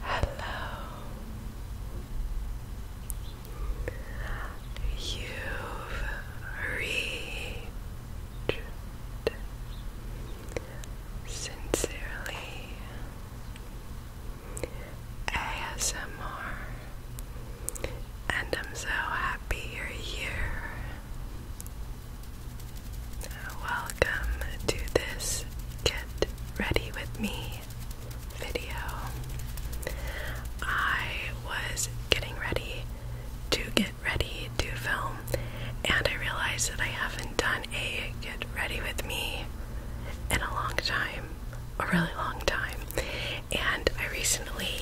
Hello. You've reached sincerely ASMR, and I'm so happy you're here. Welcome to this Get Ready With Me video. I was getting ready to get ready to film, and I realized that I haven't done a Get Ready With Me in a long time, a really long time, and I recently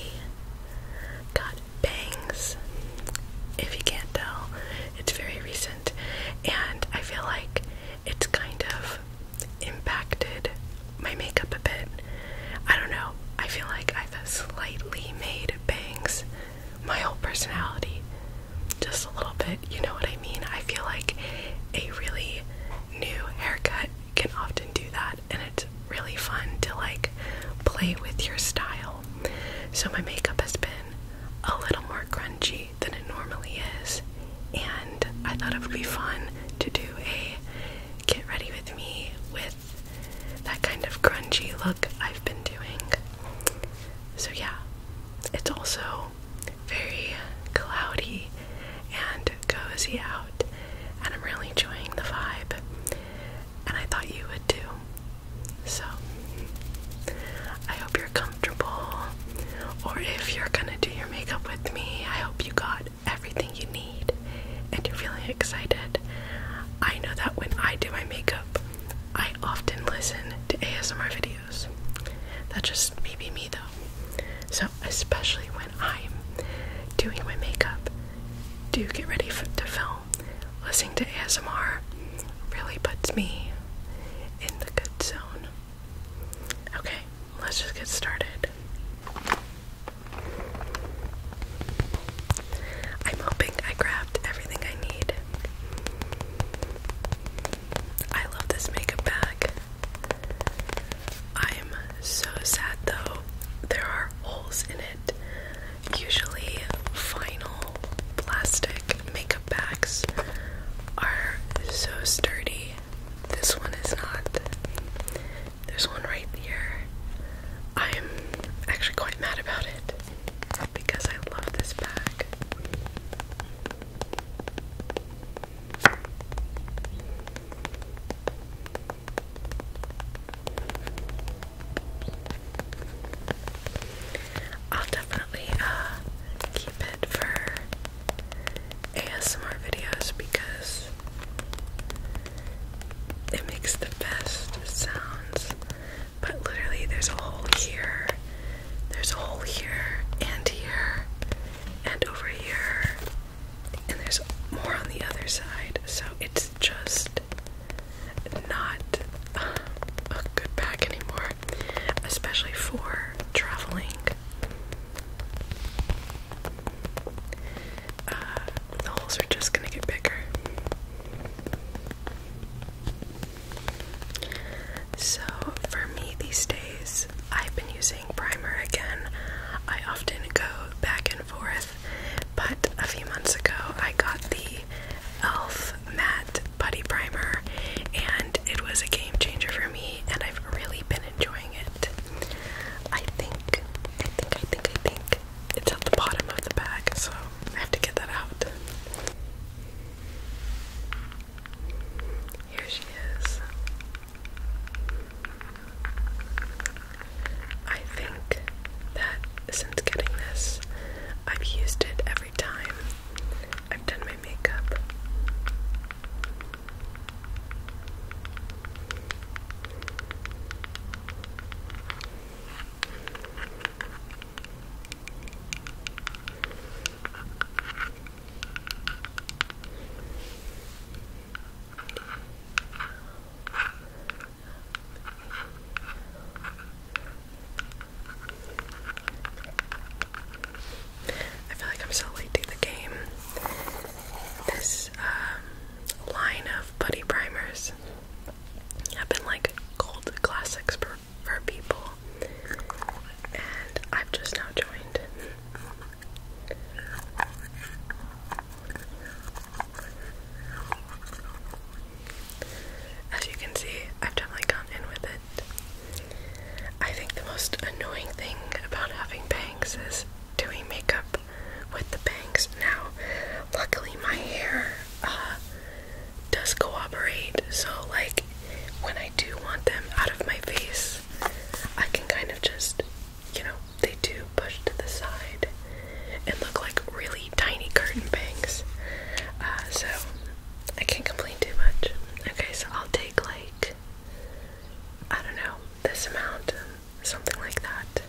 got bangs. If you can't tell, it's very recent, and I feel like it's kind of impacted my makeup a bit. I don't know. I feel like I've slightly made bangs my whole personality just a little bit. You know what I mean? I feel like a really new haircut can often do that, and it's really fun to like play with your style. So, my makeup has been a little more crunchy than it normally is, and I thought it would be fun to do a get ready with me with that kind of crunchy look I've been doing. So, yeah, it's also very cloudy and cozy out, and I'm really enjoying the vibe, and I thought you would too. So, I hope you're comfortable, or if you're gonna do your makeup with me, I hope you got everything you need and you're feeling excited. I know that when I do my makeup, I often listen to ASMR videos. That's just maybe me though. So, especially when I'm doing my makeup, do get ready for, to film. Listening to ASMR really puts me in the good zone. Okay, let's just get started. I'm hoping I grabbed everything I need. I love this makeup bag. I'm so sad though, there are holes in it. Usually, vinyl plastic makeup bags are so sturdy. This one is not. There's one right here. I'm actually quite mad about it because I love this bag. I'll definitely uh, keep it for ASMR videos because it makes the best sounds. But literally, there's a hole here, there's a hole here, and here, and over here, and there's more on the other side. So it's just not a good bag anymore, especially for traveling. Uh, the holes are just gonna get bigger. So, for me these days, I've been using primer again. I often go back and forth, but a few months ago I got the e.l.f. Matte Puddy primer, and it was a game changer for me, and I've really been enjoying it. I think, I think, I think, I think it's at the bottom of the bag, so I have to get that out. Here she is. I think that since getting this, I've used it ever every time I've done my makeup. I feel like I'm so late to the game. This um, line of putty primers have been like gold classics for, for people, and I've just now joined. As you can see, I've definitely gone in with it. I think the most annoying thing about having bangs is doing makeup with the bangs now. Luckily, my hair uh, does cooperate, so like when I do want them out of my face, I can kind of just, you know, they do push to the side and look like really tiny curtain bangs. Uh, so I can't complain too much. Okay, so I'll take like I don't know, this amount, something like that.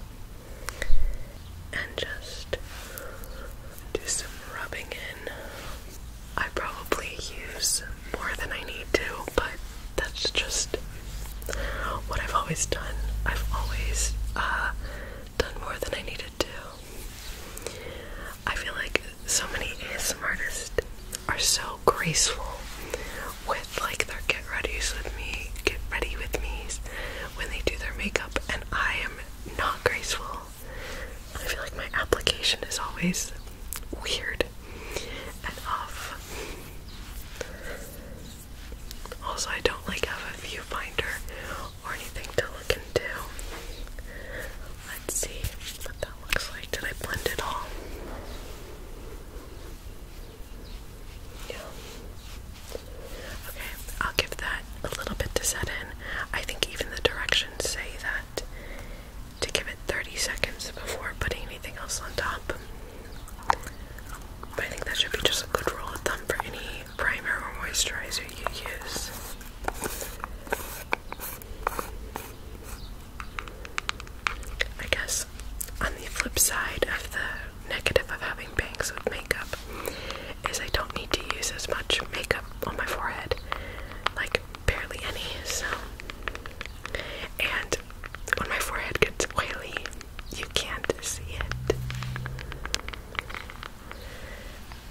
And just do some rubbing in. I probably use more than I need to, but that's just what I've always done. I've always uh, done more than I needed to I feel like so many ASMR artists are so graceful with like their get readys with me, get ready with me's when they do their makeup, and I am not graceful. I feel like my application is always weird and off. Also, I don't like have a viewfinder or anything to look into. Let's see what that looks like. Did I blend it all? Yeah. Okay, I'll give that a little bit to set in. I think even the directions say that to give it 30 seconds before putting anything else on top. But I think that should be just a good rule of thumb for any primer or moisturizer you use. I guess on the flip side of the negative of having bangs with makeup is I don't need to use as much makeup on my forehead, like barely any. So, and when my forehead gets oily, you can't see it.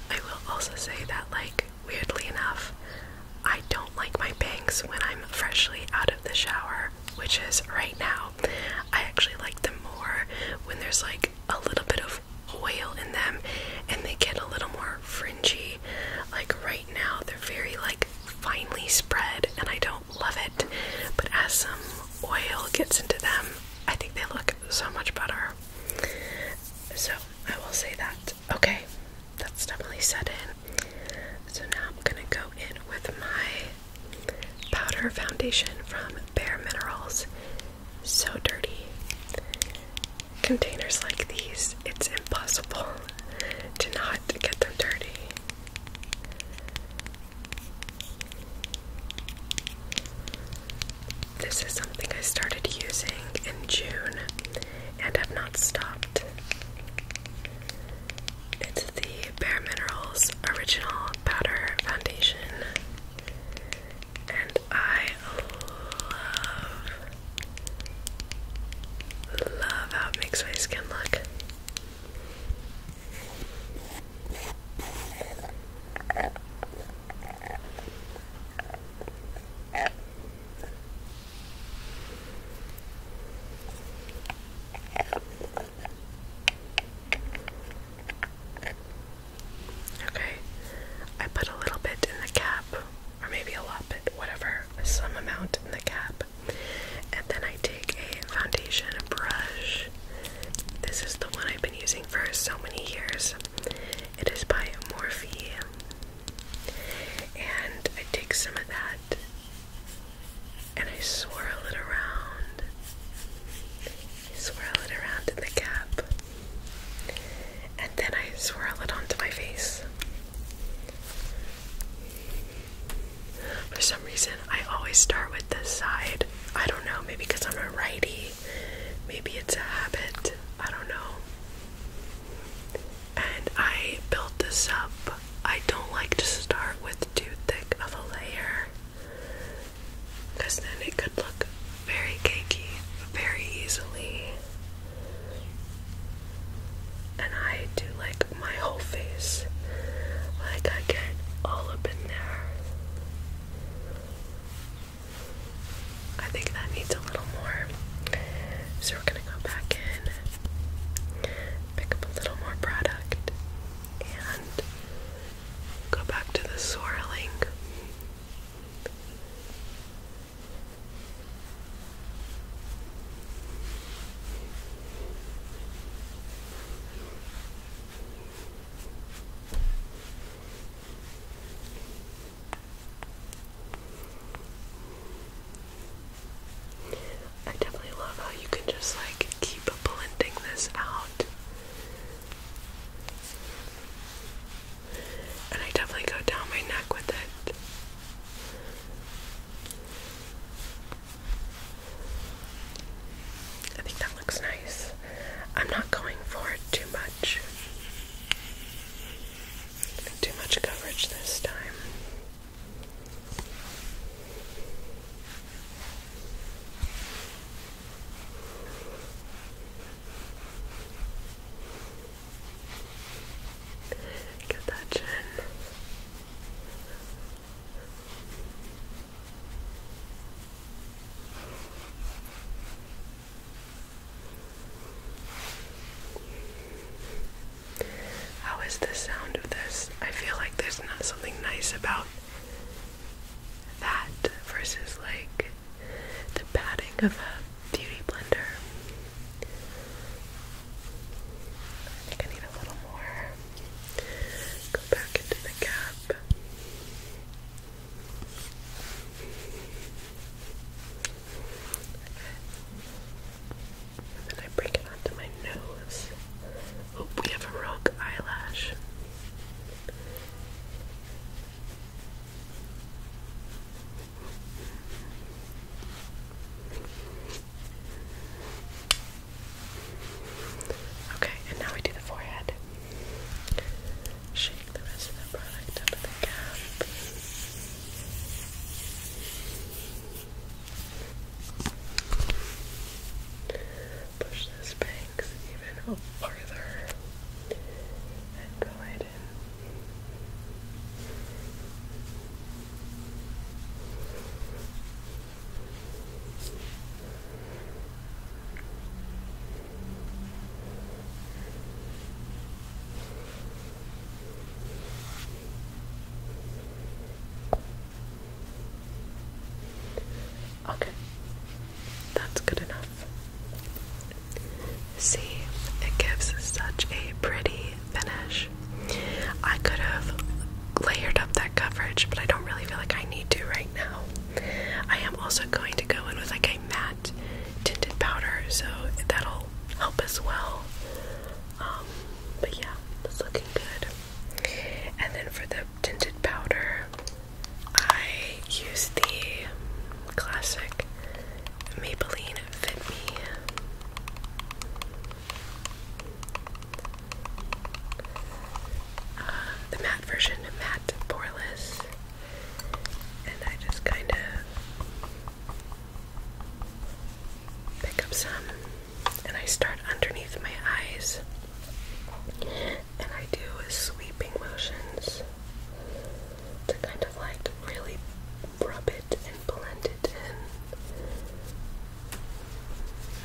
I will also say that, like, weirdly enough, I don't like my bangs when I'm freshly out of the shower, which is right now. I actually like them more when there's like a little bit of oil in them and they get a little more fringy. Like right now, they're very like finely spread and I don't love it, but as some oil gets into them, I think they look so much better. So I will say that. Okay, that's definitely set in. So now I'm gonna go in with my powder foundation from Bare Minerals. So dirty. Containers like these, it's impossible to not get them dirty. This is something I started using in June and have not stopped. It's the Bare Minerals Original Powder Foundation. And I love, love how it makes my skin look. Okay, I put a little bit in the cap, or maybe a lot bit, whatever, some amount in the cap. And then I take a foundation brush. This is the one I've been using for so many years. It is by Morphe. And I take some of that and I swirl it around. I swirl it around in the cap. And then I swirl it onto my face. For some reason, I always start with this side. I don't know, maybe because I'm a righty Maybe it's a habit. I don't know. And I built this up. I don't like to start with too thick of a layer then it could look very cakey very easily. And I do like my whole face. Like I get all up in there. I think that needs a little more. So we're gonna go back in, pick up a little more product, and go back to the swirling. I definitely love how you can just like keep blending this out. And I definitely go down my neck with it. I think that looks nice. I'm not going for it too much. Too much coverage this time. Get that chin. How is the sound of this? I feel like there's not something nice about that versus like the padding of a beauty blender. I think I need a little more. Go back into the cap then I bring it onto my nose. Oh, we have a rogue eyelash. Okay, and now we do the forehead shake the rest of the product up at the cap. Push those bangs even farther and go in. Okay, that's good enough. See, it gives such a pretty finish. I could have layered up that coverage, but I don't really feel like I need to right now. I am also going to go in with like a matte tinted powder, so that'll help as well. Um, but yeah, it's looking good. And then for the tinted powder, I use the classic Maybelline Fit Me. Uh, the matte version, matte poreless and I just kind of pick up some and I start underneath my eyes and I do sweeping motions to kind of like really rub it and blend it in.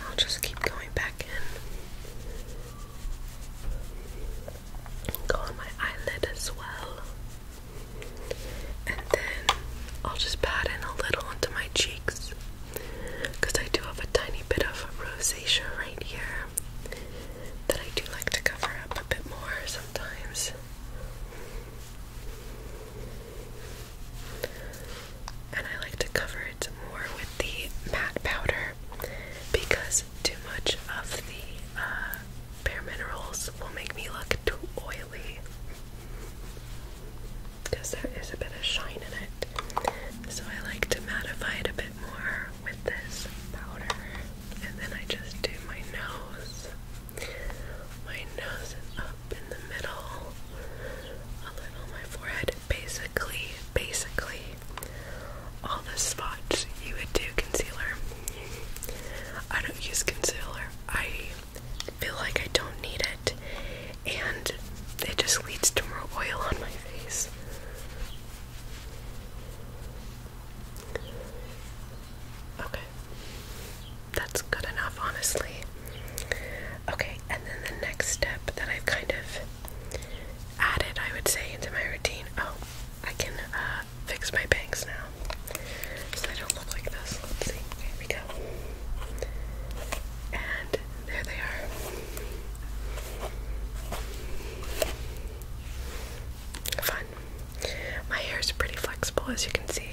I'll just keep going back in go on my eyelid as well. And then I'll just pat in a little onto my cheeks because I do have a tiny bit of rosacea right here that I do like to cover up a bit more sometimes. And I like to cover it more with the matte powder because too much of the uh, bare minerals will make me look too oily because there is a bit of shine in it. So I like to mattify it a bit more with this powder and then I just do my nose. My nose is up in the middle, a little my forehead. Basically, basically, all the spots you would do concealer. I don't use concealer. I feel like I don't need it, and it just leads to more oil on my face. Okay. That's good enough, honestly. Okay, and then the next step that I've kind of added, I would say, into my routine. Oh, I can uh, fix my bangs now so they don't look like this. Let's see. Here we go. And there they are. Fun. My hair is pretty flexible, as you can see.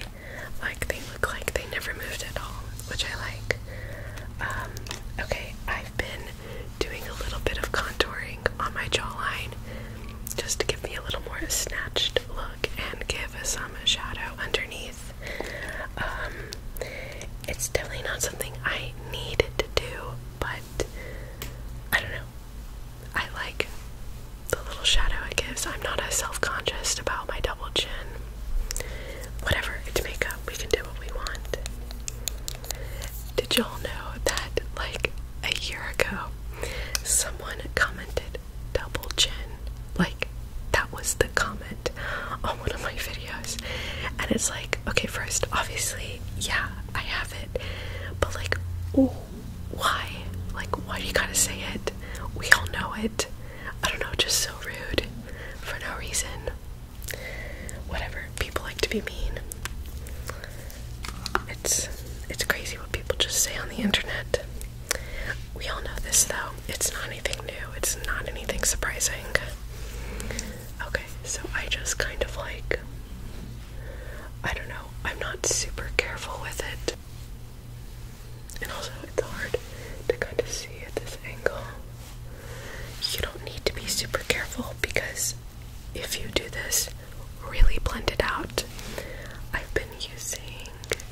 Like, they look like they never moved at all, which I like. Um, okay, I've been doing a little bit of contouring on my jawline just to give me a little more snatched look and give some shadow underneath. Um, it's definitely not something I need to do, but I don't know. I like the little shadow it gives. I'm not as self conscious about my double chin. Whatever, it's makeup. We can do what we want. Did y'all know that like a year ago someone commented double chin? Like that was the comment on one of my videos. And it's like, okay, first obviously, yeah, I have it. But like, ooh, why? Like why do you gotta say it? We all know it. I don't know, just so rude for no reason whatever. People like to be mean. It's it's crazy what people just say on the internet. We all know this though. It's not anything new. It's not anything surprising. Okay, so I just kind of like I don't know. I'm not super careful with it. And also, it's hard to kind of see at this angle. You don't need to be super careful because if you do this, really blend it out. I've been using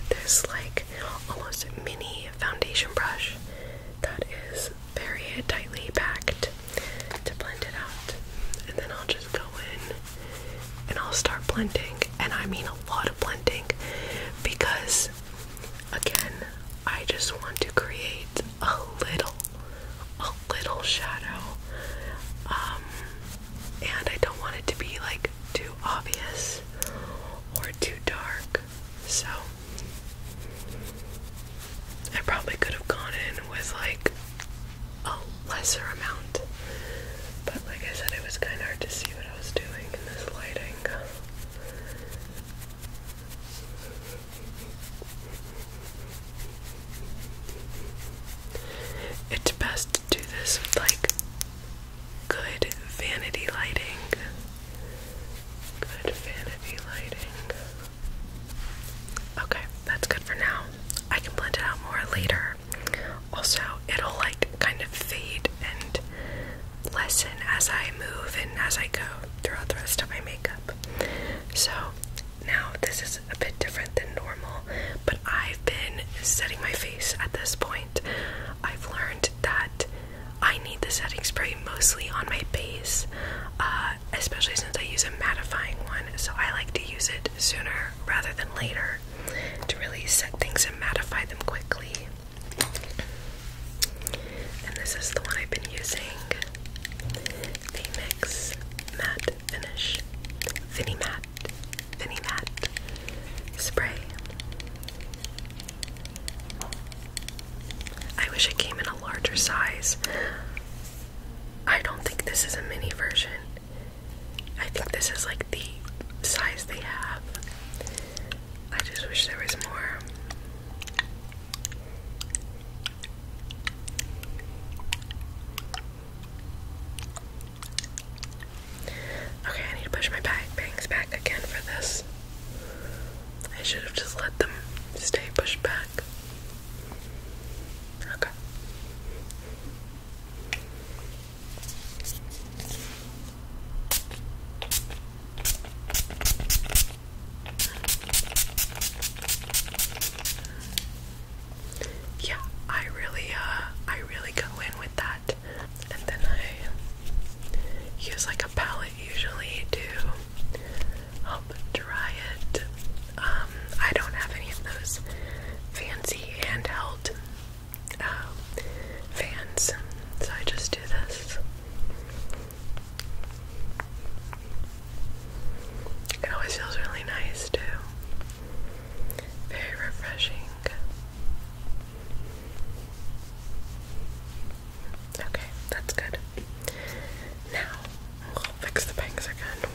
this like almost mini foundation brush that is very tightly packed to blend it out. And then I'll just go in and I'll start blending. And I mean a lot of blending because, again, I just want to create a little a little shadow. Um, and I don't want it to be like too obvious or too dark. So I probably could have gone in with like a lesser amount. But like I said, it was kind of hard to see what I was doing in this lighting. It's best to do this with like good vanity lighting. Good vanity lighting. Okay, that's good for now. I can blend it out more later. Also, it'll like kind of fade and lessen as I move and as I go throughout the rest of my makeup. So, now, this is a bit different than normal, but I've been setting my face at this point. I've learned that I need the setting spray mostly on my base, uh, especially since I use a mattifying one, so I like to use it sooner rather than later to really set things and mattify them quickly. And this is the one I've been using mix Matte Finish. fini Matte. fini Matte. Spray. I wish it came in a larger size. I don't think this is a mini version. I think this is like the size they have. I just wish there was more. Okay, I need to push my bangs back again for this. I should have just let them stay pushed back. Okay. Yeah, I really uh I really go in with that. And then I use like a palette usually to help dry it. Um I don't have any of those fancy handheld uh, fans, so I just do this. It always feels really nice, too. Very refreshing. Okay, that's good. Now, fix the bangs again.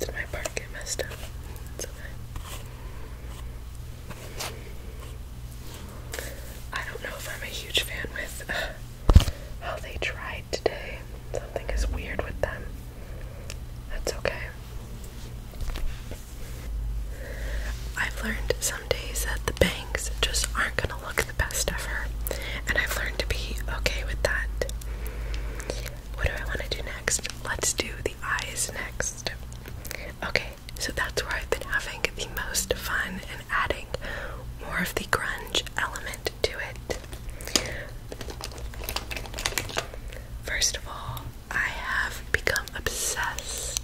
Did my part get messed up? I don't know if I'm a huge fan with uh, how they tried today. Something is weird with them. That's okay. I've learned some days that the bangs just aren't gonna look the best ever, and I've learned to be okay with that. What do I want to do next? Let's do the eyes next. Okay, so that's where I've been having the most fun and adding more of the grunge element to it. First of all, I have become obsessed,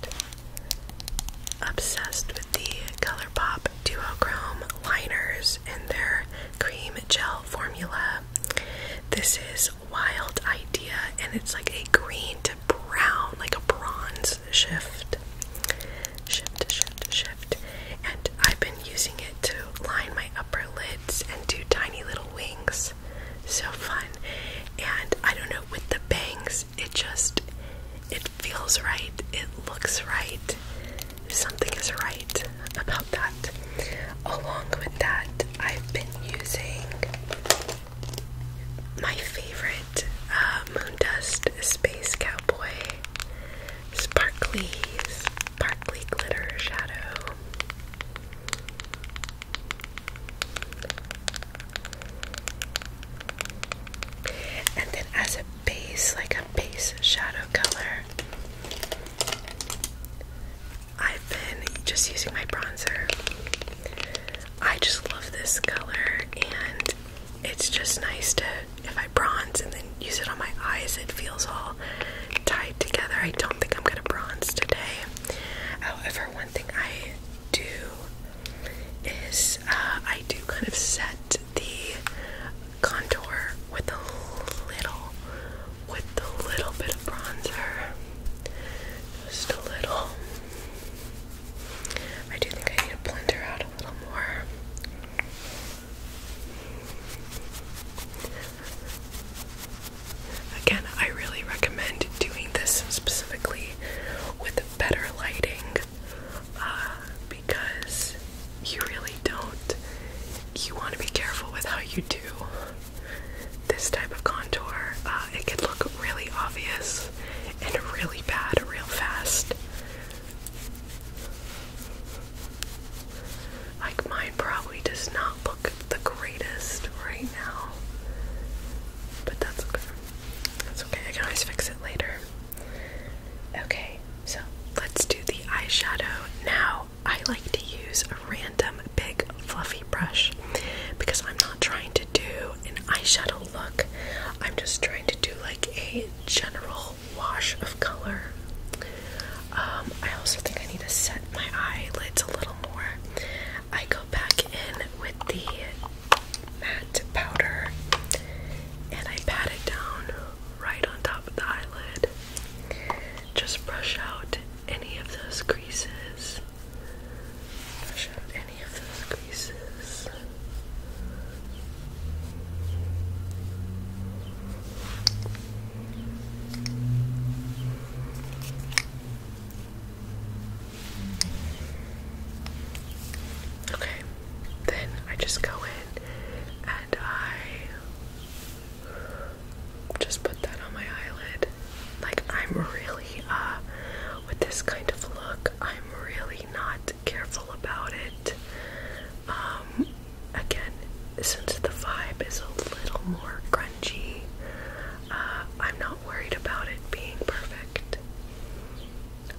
obsessed with the ColourPop Duochrome liners and their cream gel formula. This is Wild Idea, and it's like a green to brown, like a bronze shift, shift, shift, shift. And I've been using it to line my upper lids and do tiny little wings. So fun. And I don't know, with the bangs, it just, it feels right. It looks right. Something is right about that. Along with that, I've been using my favorite uh, Moondust Space Cowboy Sparkly Sparkly Glitter Shadow. And then as a base, like a base shadow color, I've been just using my bronzer. I just love this color, and it's just nice to, if I bronze and then use it on my eyes, it feels all tied together. I don't think I'm gonna bronze today. However, one thing I do is uh, I do kind of set the contour with a little, with a little bit of bronzer. Just a little. I do think I need to blend her out a little more. Again, I really recommend doing this specifically with better lighting uh, because you really don't. You want to be careful with how you do this type of contour. Uh, it could look really obvious and really bad real fast. Like mine probably does not look the greatest right now. But that's okay. That's okay. I can always fix it later. Okay, so let's do the eyeshadow now. I like to use a random big fluffy brush because I'm not trying to do an eyeshadow look. I'm just trying to do like a general wash of color. Um, I also think I need to set my eyelids a little more. I go back in with the matte powder and I pat it down right on top of the eyelid. Just brush out any of those creases. Brush out any of those creases. Okay, then I just go in and I just put that on my eyelid. Like, I'm really, uh, with this kind of look, I'm I'm really not careful about it. Um, again, since the vibe is a little more grungy, uh, I'm not worried about it being perfect.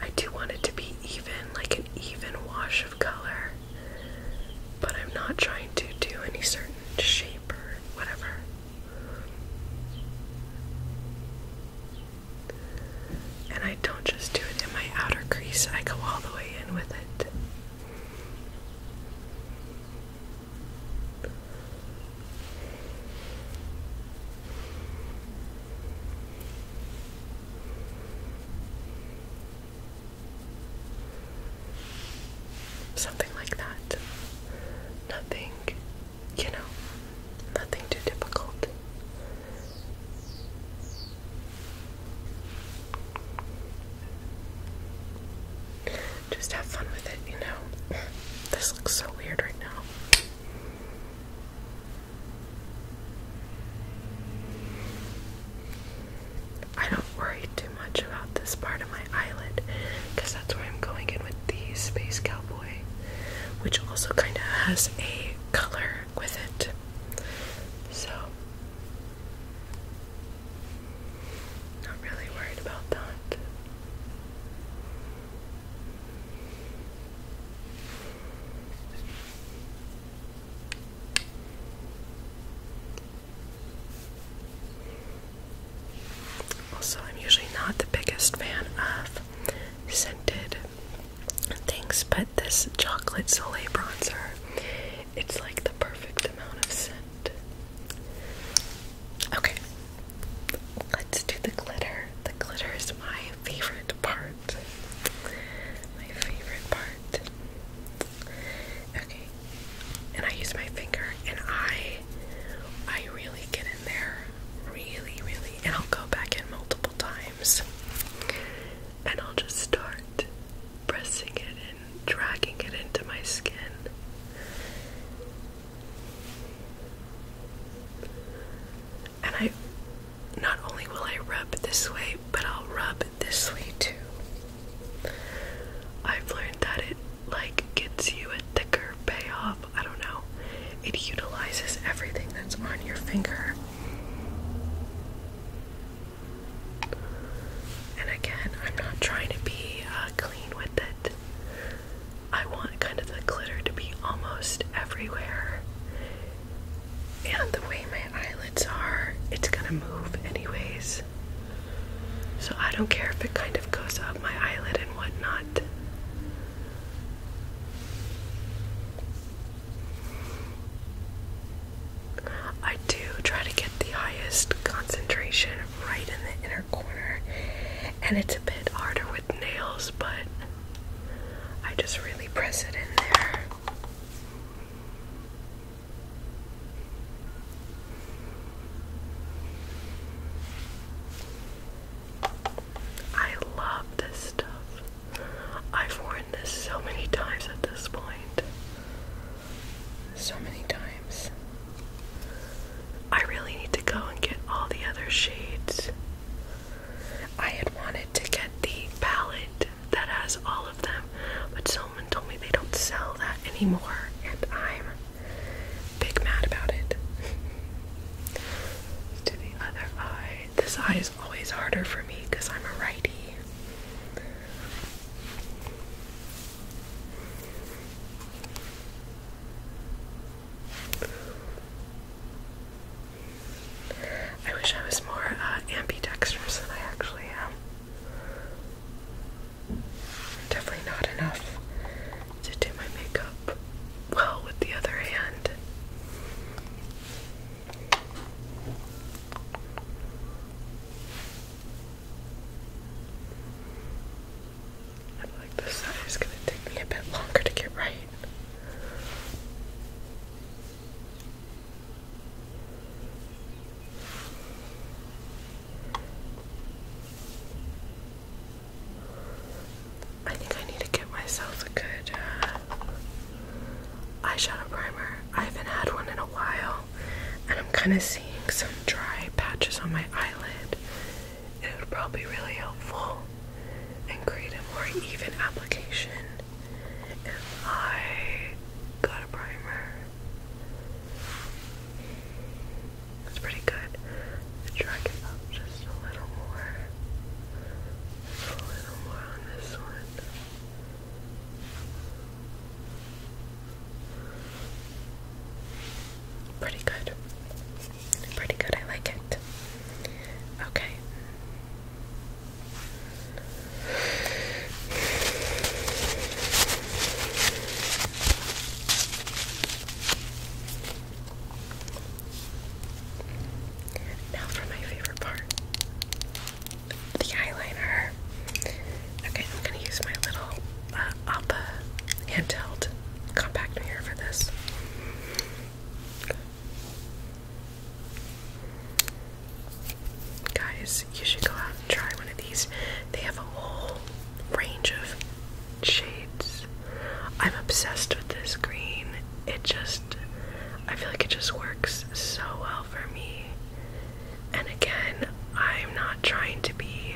I do want it to be even, like an even wash of color, but I'm not trying to do any certain shape or whatever. And I don't just do it in my outer crease, I go all the way in with it. Something like that. Nothing you know, nothing too difficult. Just have fun with it, you know. This looks so weird right now. I don't worry too much about this part of my eyelid because that's where I'm going in with these space cowboys which also kind of has a color with it. So, not really worried about that. Also, I'm usually not the biggest fan of scented things, but this chocolate soleil bronzer, it's like the perfect amount of scent. Okay, let's do the glitter. The glitter is my favorite part. My favorite part. Okay, and I use my finger, and I, I really get and really, really, and I'll go back in multiple times, and I'll just start pressing it and dragging it into my skin. And I not only will I rub this way, but I'll rub this way too. I've learned that it like gets you a thicker payoff. I don't know. It utilizes everything that's on your finger. And again, I'm not trying to be uh, clean with it. I want kind of the glitter to be almost everywhere. And the way my eyelids are, it's gonna move anyways. So I don't care if it kind of goes up my eyelid and whatnot. I do try to get the highest concentration right in the inner corner, and it's a bit harder with nails, but I just really press it in there. I love this stuff. I've worn this so many times at this point. So many times. I really need to go and get all the other shades. I had wanted to get the palette that has all of them, but someone told me they don't sell that anymore, and I'm big mad about it to the other eye. This eye is always harder for me because I'm a righty. I wish I was more uh, ambidextrous than I actually am. Definitely not enough to do my makeup well with the other hand. I like this side, it's gonna take me a bit longer to get right. I think I need to get myself a good uh, eyeshadow primer. I haven't had one in a while, and I'm kind of seeing some dry patches on my eyelid. It would probably be really helpful and create a more even application if I got a primer. That's pretty good. drag it up just a little more. Just a little more on this one. Pretty good. Pretty good, I like it. Okay. Now for my favorite part the eyeliner. Okay, I'm gonna use my little uh, Appa hand held compact mirror for this. Guys, you should go out and try one of these. They have a whole range of shades. I'm obsessed with this green. It just, I feel like it just works so well for me. And again, I'm not trying to be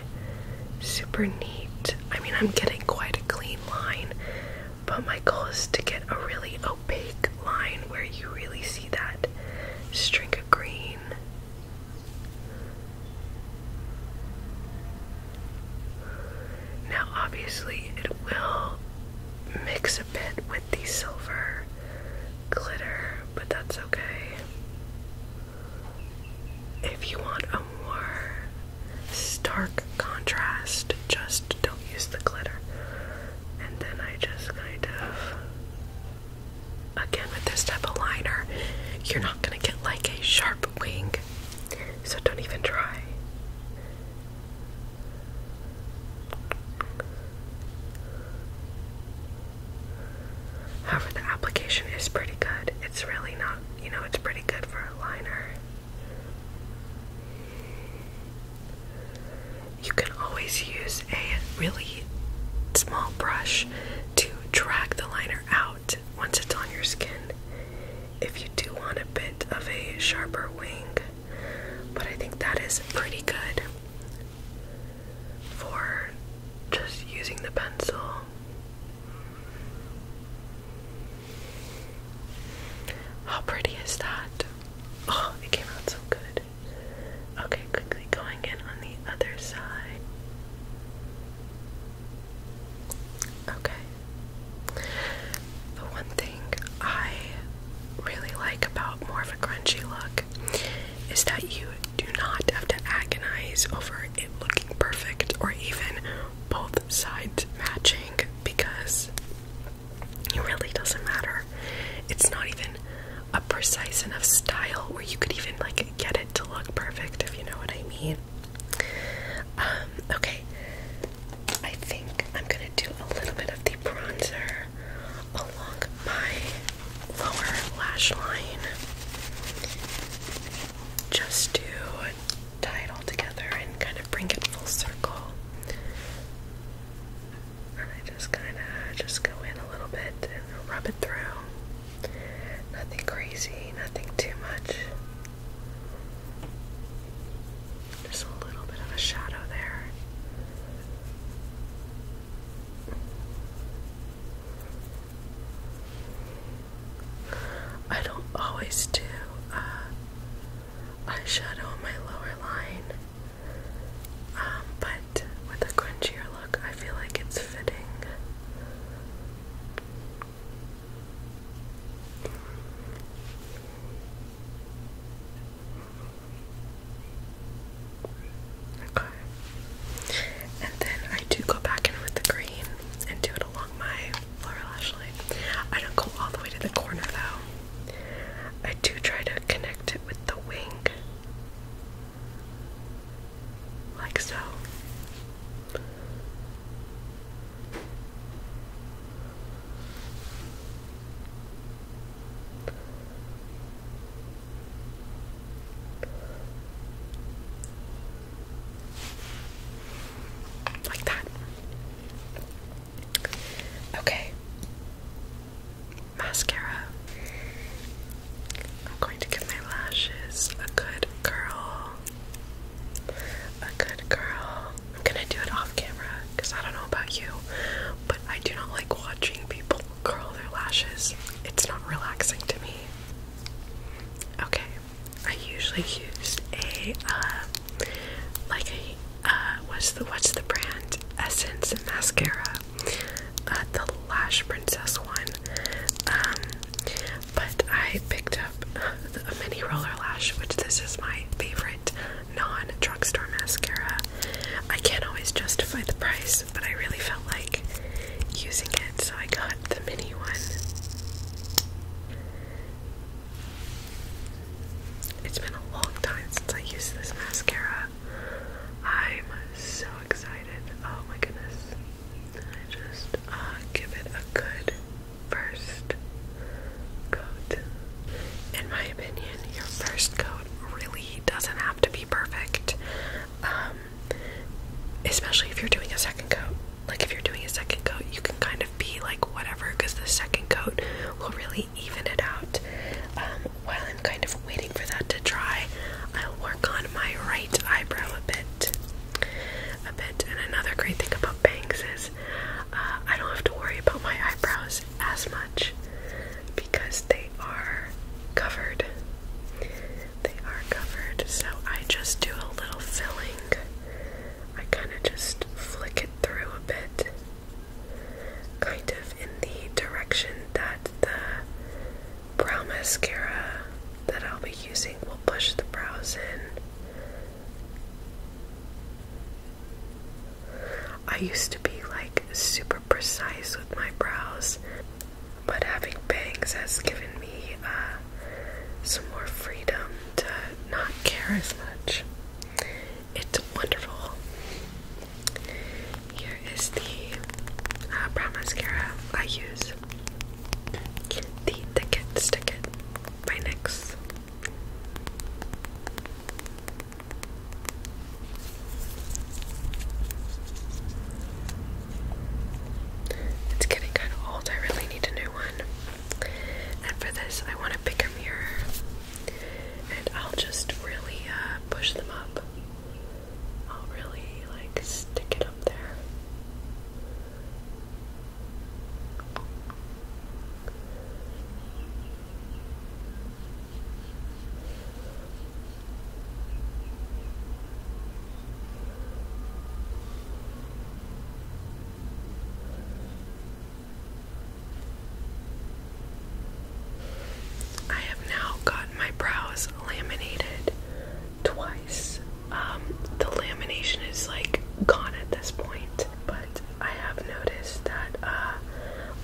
super neat. I mean, I'm getting quite a clean line, but my goal is to get a really opaque line where you really see that string of green. Now, obviously, it will mix a bit with the silver glitter, but that's okay. If you want a more stark contrast, just don't use the glitter. And then I just kind of, again, with this type of liner, you're not going to get like a sharp wing so don't even try. However, the application is pretty good. It's really not, you know, it's pretty good for a liner. You can always use a really small brush to drag the liner out once it's on your skin. If you do want a bit of a sharper wing, but I think that is pretty good for just using the pencil. How pretty is that? Oh, it came out so good. Okay, quickly going in on the other side. Okay. The one thing I really like about more of a crunchy look is that you do not have to agonize over it looking perfect or even both sides matching because it really doesn't matter. It's not even a precise enough style where you could even like get it to look perfect if you know what I mean. Um, okay. I think I'm gonna do a little bit of the bronzer along my lower lash line just to tie it all together and kind of bring it full circle. And I just kind of just go in a little bit and rub it through. Nothing crazy, nothing too much. There's a little bit of a shadow there. I don't always do uh, shadow on my lower line, um, but with a crunchier look, I feel like it's fitting. And then I do go back in with the green and do it along my lower lash line. I don't go all the way to the corner though. I do try to connect it with the wing. Like so. Like that. Okay. Mascara. I'm going to give my lashes a good curl. A good girl. I'm gonna do it off camera because I don't know about you, but I do not like watching people curl their lashes. It's not relaxing to me. Okay, I usually use a uh, like a uh, what's the what's the brand Essence mascara, uh, the Lash Princess one. Um, but I picked up a mini roller lash, which this is my favorite non drugstore mascara. I can't always justify the price, but I really felt like using it, so I got the mini one. It's been a long time since I used this mascara. I'm so excited. Oh my goodness. I just uh, give it a good first coat. In my opinion, your first coat really doesn't have to be perfect. Um, especially if you're doing a second coat. Like, if you're doing a second coat, you can kind of be like whatever, because the second coat will really even it out. Um, while I'm kind of waiting for that to dry, I'll work on my right eyebrow a bit. A bit, and another great thing about bangs is uh, I don't have to worry about my eyebrows as much because they are covered. They are covered, so I just do a little filling. I kind of just flick it through a bit, kind of in the direction that the brow mascara that I'll be using will push the brows in. I used to be like super precise with my brows, but having bangs has given me uh, some more freedom to not care as much. It's wonderful. Here is the uh, brow mascara I use. The Thicket Sticket by NYX. It's getting kind of old, I really need a new one. And for this, I want to pick a mirror. And I'll just really uh, push them up. I'll really like stick it up there. I have now gotten my brows laminated twice. Um, the lamination is like gone at this point, but I have noticed that uh,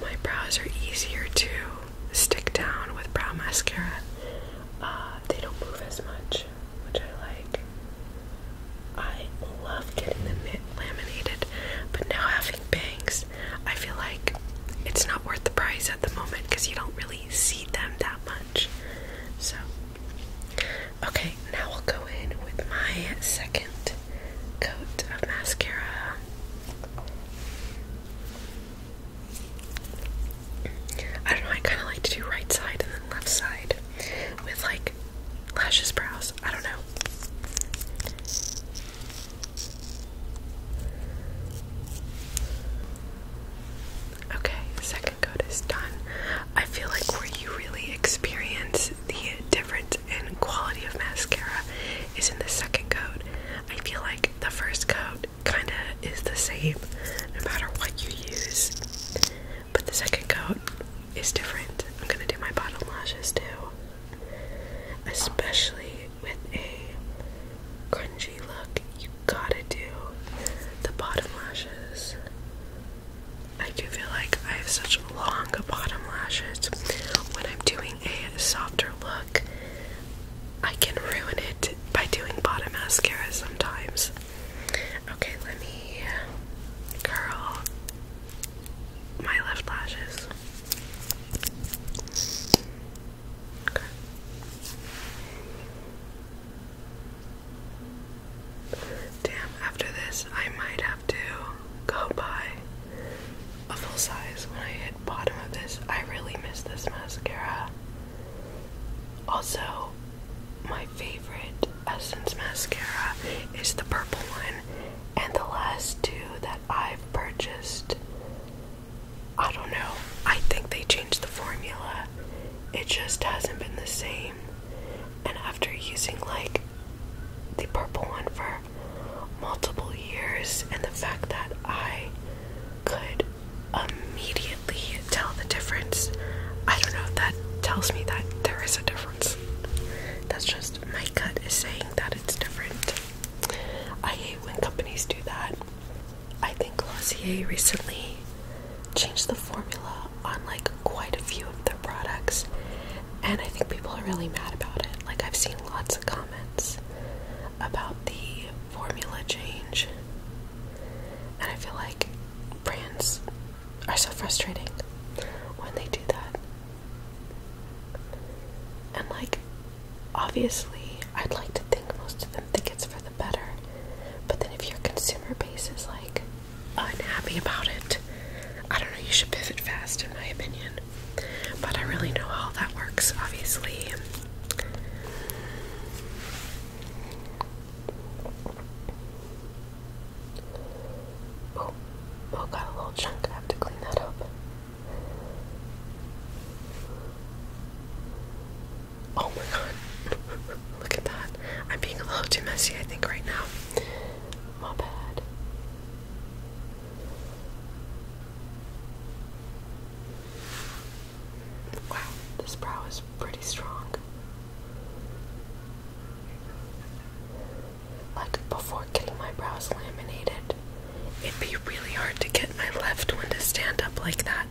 my brows are easier to stick down with brow mascara. Uh, they don't move as much, which I like. I love getting them laminated, but now having bangs, I feel like it's not worth the price at the moment because you don't really see them that much. So Okay, now i will go in with my second coat of mascara. I don't know, I kind of like to do right side and then left side with like lashes, brows. I don't know. Okay, second coat is done. I feel like where you really experience the difference in quality of mascara is in the second coat. I feel like the first coat kind of is the same no matter what you use, but the second coat is different. I'm gonna do my bottom lashes too, especially with a crunchy look. You gotta do the bottom lashes. I do feel like I have such long bottom lashes. When I'm doing a softer look, I can ruin it by doing bottom mascara sometimes. Okay, let me curl my left lashes. Okay. Damn, after this, I might have to go buy a full size when I hit bottom of this. I really miss this mascara. Also, my favorite Essence mascara is the purple one, and the last two that I've purchased, I don't know. I think they changed the formula. It just hasn't been the same. And after using like the purple one for multiple years, and the fact that I could immediately tell the difference, I don't know that tells me that there is a difference. That's just my cut is saying that it's different. I hate when companies do that. I think Glossier recently Change the formula on like quite a few of their products, and I think people are really mad about it. Like, I've seen lots of comments about the formula change, and I feel like brands are so frustrating when they do that. And, like, obviously, I'd like to think most of them think it's for the better, but then if your consumer base is like, unhappy about it. I don't know, you should pivot fast, in my opinion. But I really know how that works, obviously. Oh, oh, got a little chunk. I have to clean that up. Oh my god. Look at that. I'm being a little too messy, I think, right now. My bad. Wow, this brow is pretty strong. Like, before getting my brows laminated, it'd be really hard to get my left one to stand up like that.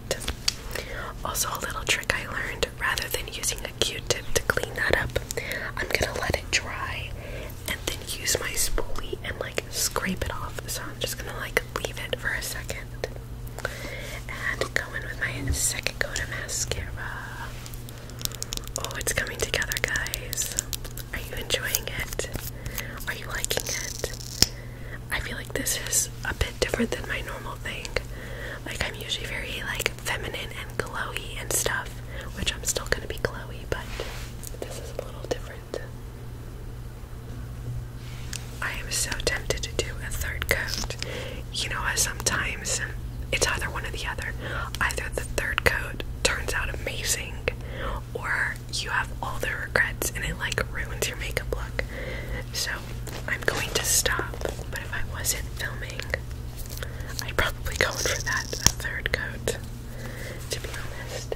Also, a little trick I learned rather than using a q tip to clean that up, I'm gonna let it dry and then use my spoolie and like scrape it off. So, I'm just gonna like leave it for a second and go in with my second coat of mascara. Oh, it's coming together, guys. Are you enjoying it? Are you liking it? I feel like this is a bit different than my normal thing. Like I'm usually very like feminine and glowy and stuff, which I'm still gonna be glowy, but this is a little different. I am so tempted to do a third coat. You know, sometimes it's either one or the other. Either the third coat turns out amazing, or you have all the regrets and it like ruins your makeup look. So I'm going to stop, but if I wasn't filming, I'd probably go in for that third coat, to be honest.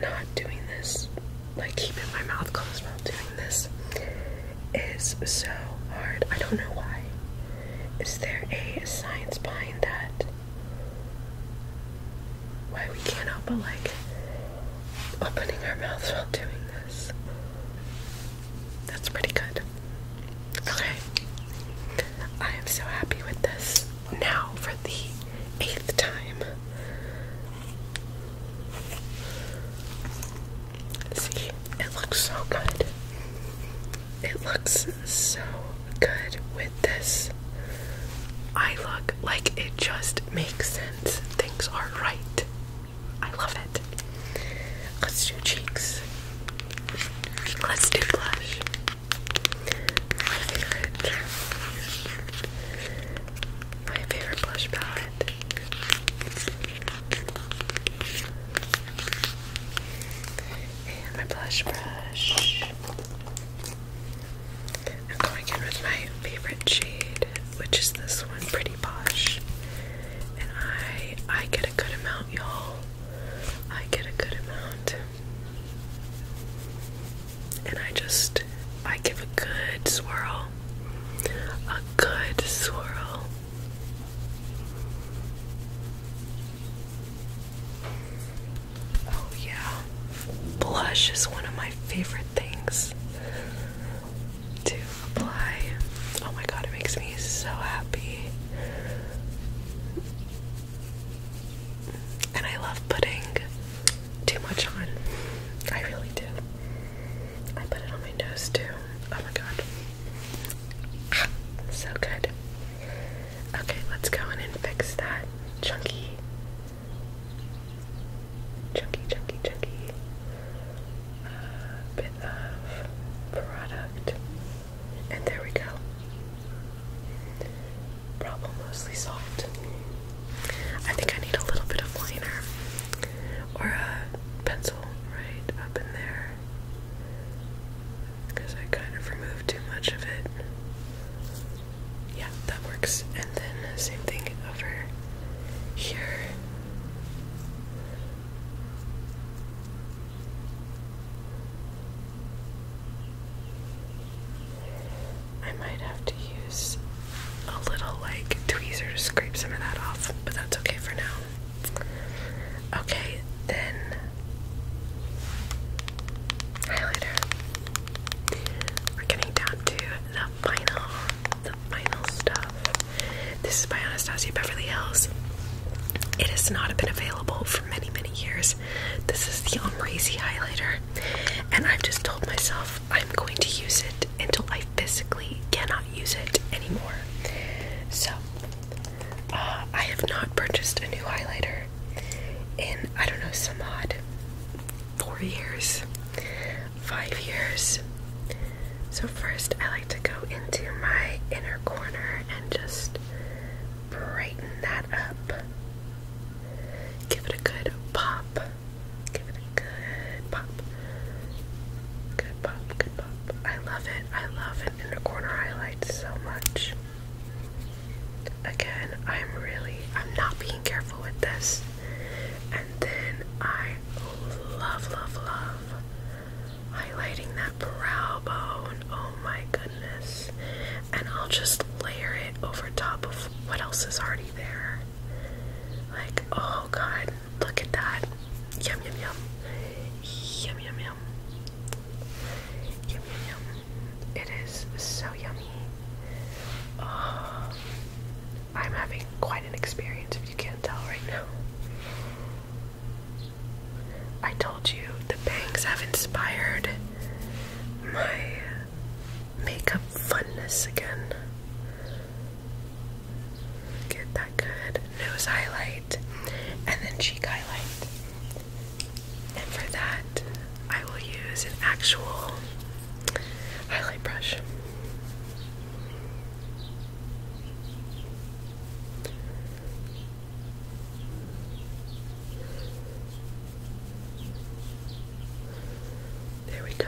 Not doing this, like keeping my mouth closed while doing this, is so hard. I don't know why. Is there a science behind that? Why we can't help but like opening our mouths while doing this. That's pretty good. Okay. I am so happy with this. Now, for the eighth time. See, it looks so good. It looks so good with this. I look like it just makes sense. Things are right. I love it. Let's do cheeks. Let's do blush. My favorite blush palette. And my blush brush. I'm going in with my favorite shade, which is this one, Pretty Posh. And I I get a good amount, y'all. I get a good amount. And I just I give a good swirl. A good swirl. Oh yeah. Blush is one of my favorite things to apply. Oh my god, it makes me so happy. And I love putting too much on. I really do. I put it on my nose too. Oh my god. so good. Okay, let's go in and fix that chunky chunky, chunky, chunky uh, bit of product. And there we go. Problem mostly solved. I think I need a little bit of liner or a pencil right up in there because I kind of removed too much of it. Yeah, that works. And then, same thing over here. I might have to use a little like tweezer to scrape some of that off, but that's okay for now. Okay, then highlighter. We're getting down to final, the final stuff. This is by Anastasia Beverly Hills. It has not been available for many, many years. This is the Omrazy highlighter, and I've just told myself I'm going to use it until I physically cannot use it anymore. So, uh, I have not purchased a new highlighter in I don't know some odd four years, five years. So, first, I like to go into my inner corner and just brighten that up. Give it a good pop. Give it a good pop. Good pop, good pop. I love it. I love an inner corner highlight so much. Again, I'm really, I'm not being careful with this then I love, love, love highlighting that brow bone. Oh my goodness. And I'll just layer it over top of what else is already there. Like, oh god, look at that. Yum, yum, yum. Yum, yum, yum. Yum, yum, yum. It is so yummy. Oh. I'm having quite an experience if you can't tell right now. I told you the bangs have inspired my makeup funness again. Get that good nose highlight and then cheek highlight. And for that, I will use an actual highlight brush. There we go.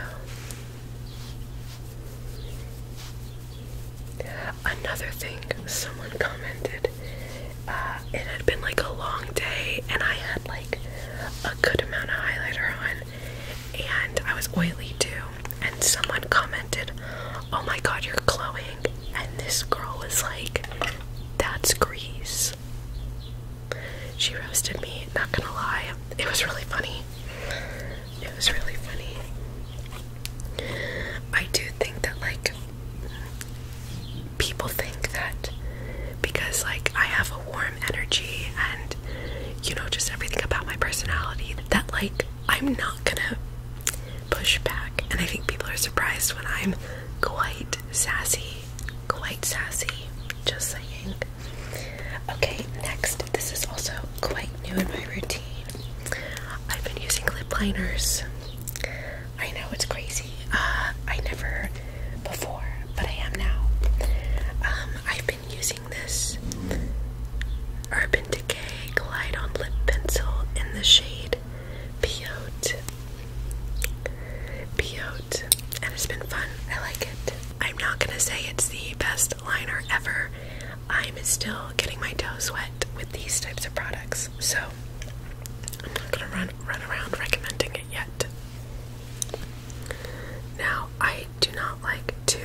Another thing, someone commented, uh, it had been like a long day and I had like a good amount of highlighter on, and I was oily too. And someone commented, Oh my god, you're glowing. And this girl was like, That's grease. She roasted me, not gonna lie. It was really funny. It was really funny. I do think that, like, people think that because, like, I have a warm energy and you know just everything about my personality that like I'm not gonna push back and I think people are surprised when I'm quite sassy quite sassy just saying okay next this is also quite new in my routine I've been using lip liners I know it's crazy uh, I never before but I am now um, I've been using this Urban Decay Glide On Lip Pencil in the shade Peyote. Peyote. And it's been fun. I like it. I'm not gonna say it's the best liner ever. I'm still getting my toes wet with these types of products, so I'm not gonna run run around recommending it yet. Now I do not like to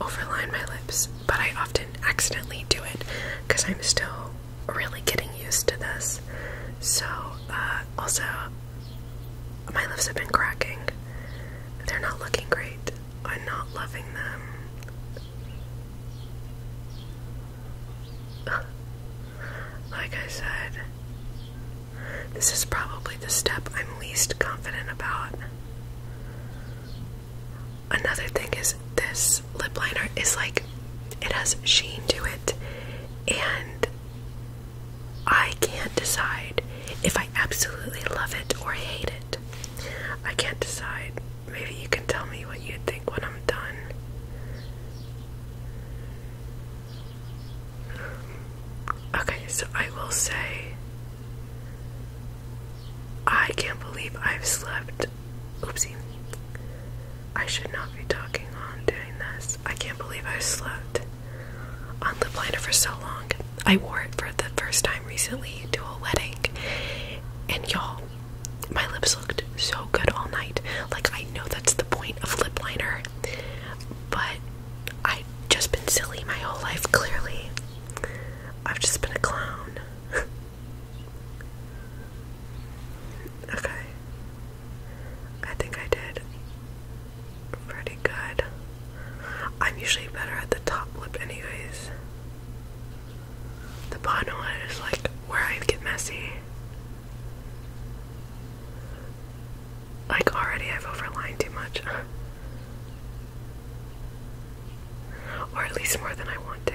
overline my lips, but I often accidentally do it because I'm still really getting used to this. So, uh, also, my lips have been cracking. They're not looking great. I'm not loving them. Like I said, this is probably the step I'm least confident about. Another thing is this lip liner is like it has sheen to it and I can't decide if I absolutely love it or hate it. I can't decide. Maybe you can tell me what you think when I'm done. Okay, so I will say I can't believe I've slept. Oopsie. I should not be talking on doing this. I can't believe I slept on lip liner for so long. I wore it for the first time recently to a wedding, and y'all, my lips looked so good all night. Like, I know that's the point of lip liner, but I've just been silly my whole life, clearly. I've just been a clown. okay. I think I did pretty good. I'm usually better at the top lip, anyways. The bottom lip is like where I get messy. Like, already I've overlined too much. or at least more than I want to.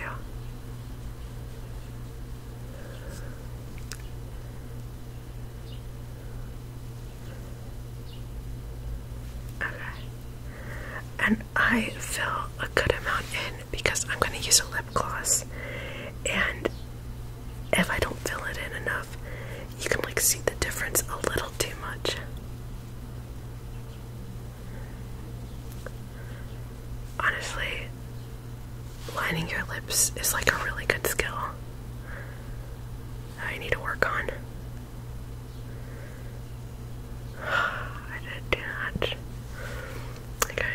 Okay. And I fill a good amount in because I'm going to use a lip gloss. And if I don't fill it in enough, you can like see the difference a little too much. Honestly, lining your lips is like a really good skill I need to work on. I did too much. Okay.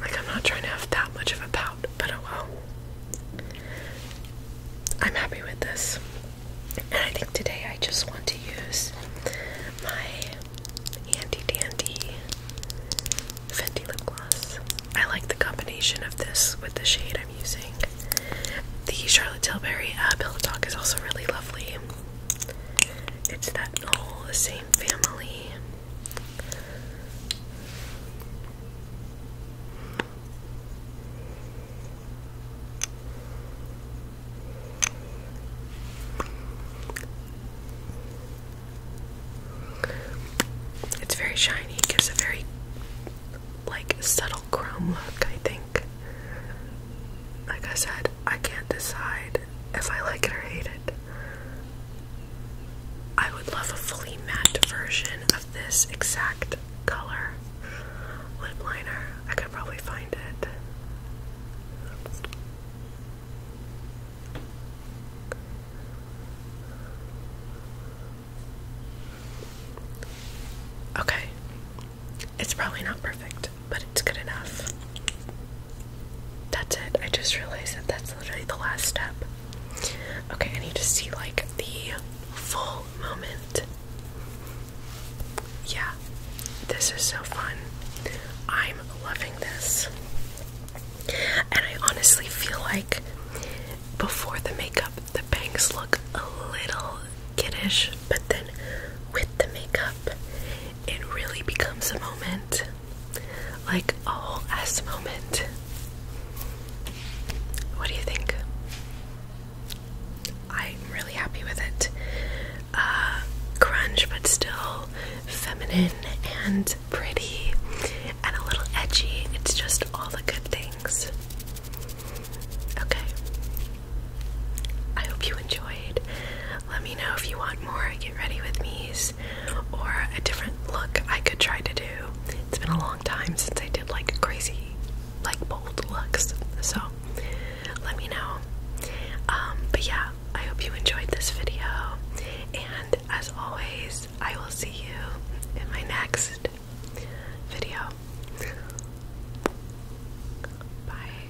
Like, I'm not trying to have that much of a pout, but oh well. I'm happy with this. And I think today I just want to use my Handy Dandy Fenty Lip Gloss. I like the combination of this with the shade I'm using. The Charlotte Tilbury uh, Pillow Talk is also really lovely. It's that whole same family. It's very shiny, it gives a very like subtle chrome look, I think. Like I said, I can't decide if I like it or hate it. I would love a fully matte version of this exact color lip liner. I could probably find it. Okay. It's probably not perfect, but but it's good enough. That's it. I just realized that that's literally the last step. Okay, I need to see like the full moment. Yeah, this is so fun. I'm loving this. And I honestly feel like before the makeup, the bangs look a little kiddish, but then with the makeup, it really becomes a moment like a whole moment. What do you think? I'm really happy with it. Cringe, uh, but still feminine and pretty and a little edgy. It's just all the good things. Okay. I hope you enjoyed. Let me know if you want more. Get ready with me or a different look I could try to do. It's been a long time since I did like crazy, like bold looks. So let me know. Um, but yeah, I hope you enjoyed this video. And as always, I will see you in my next video. Bye.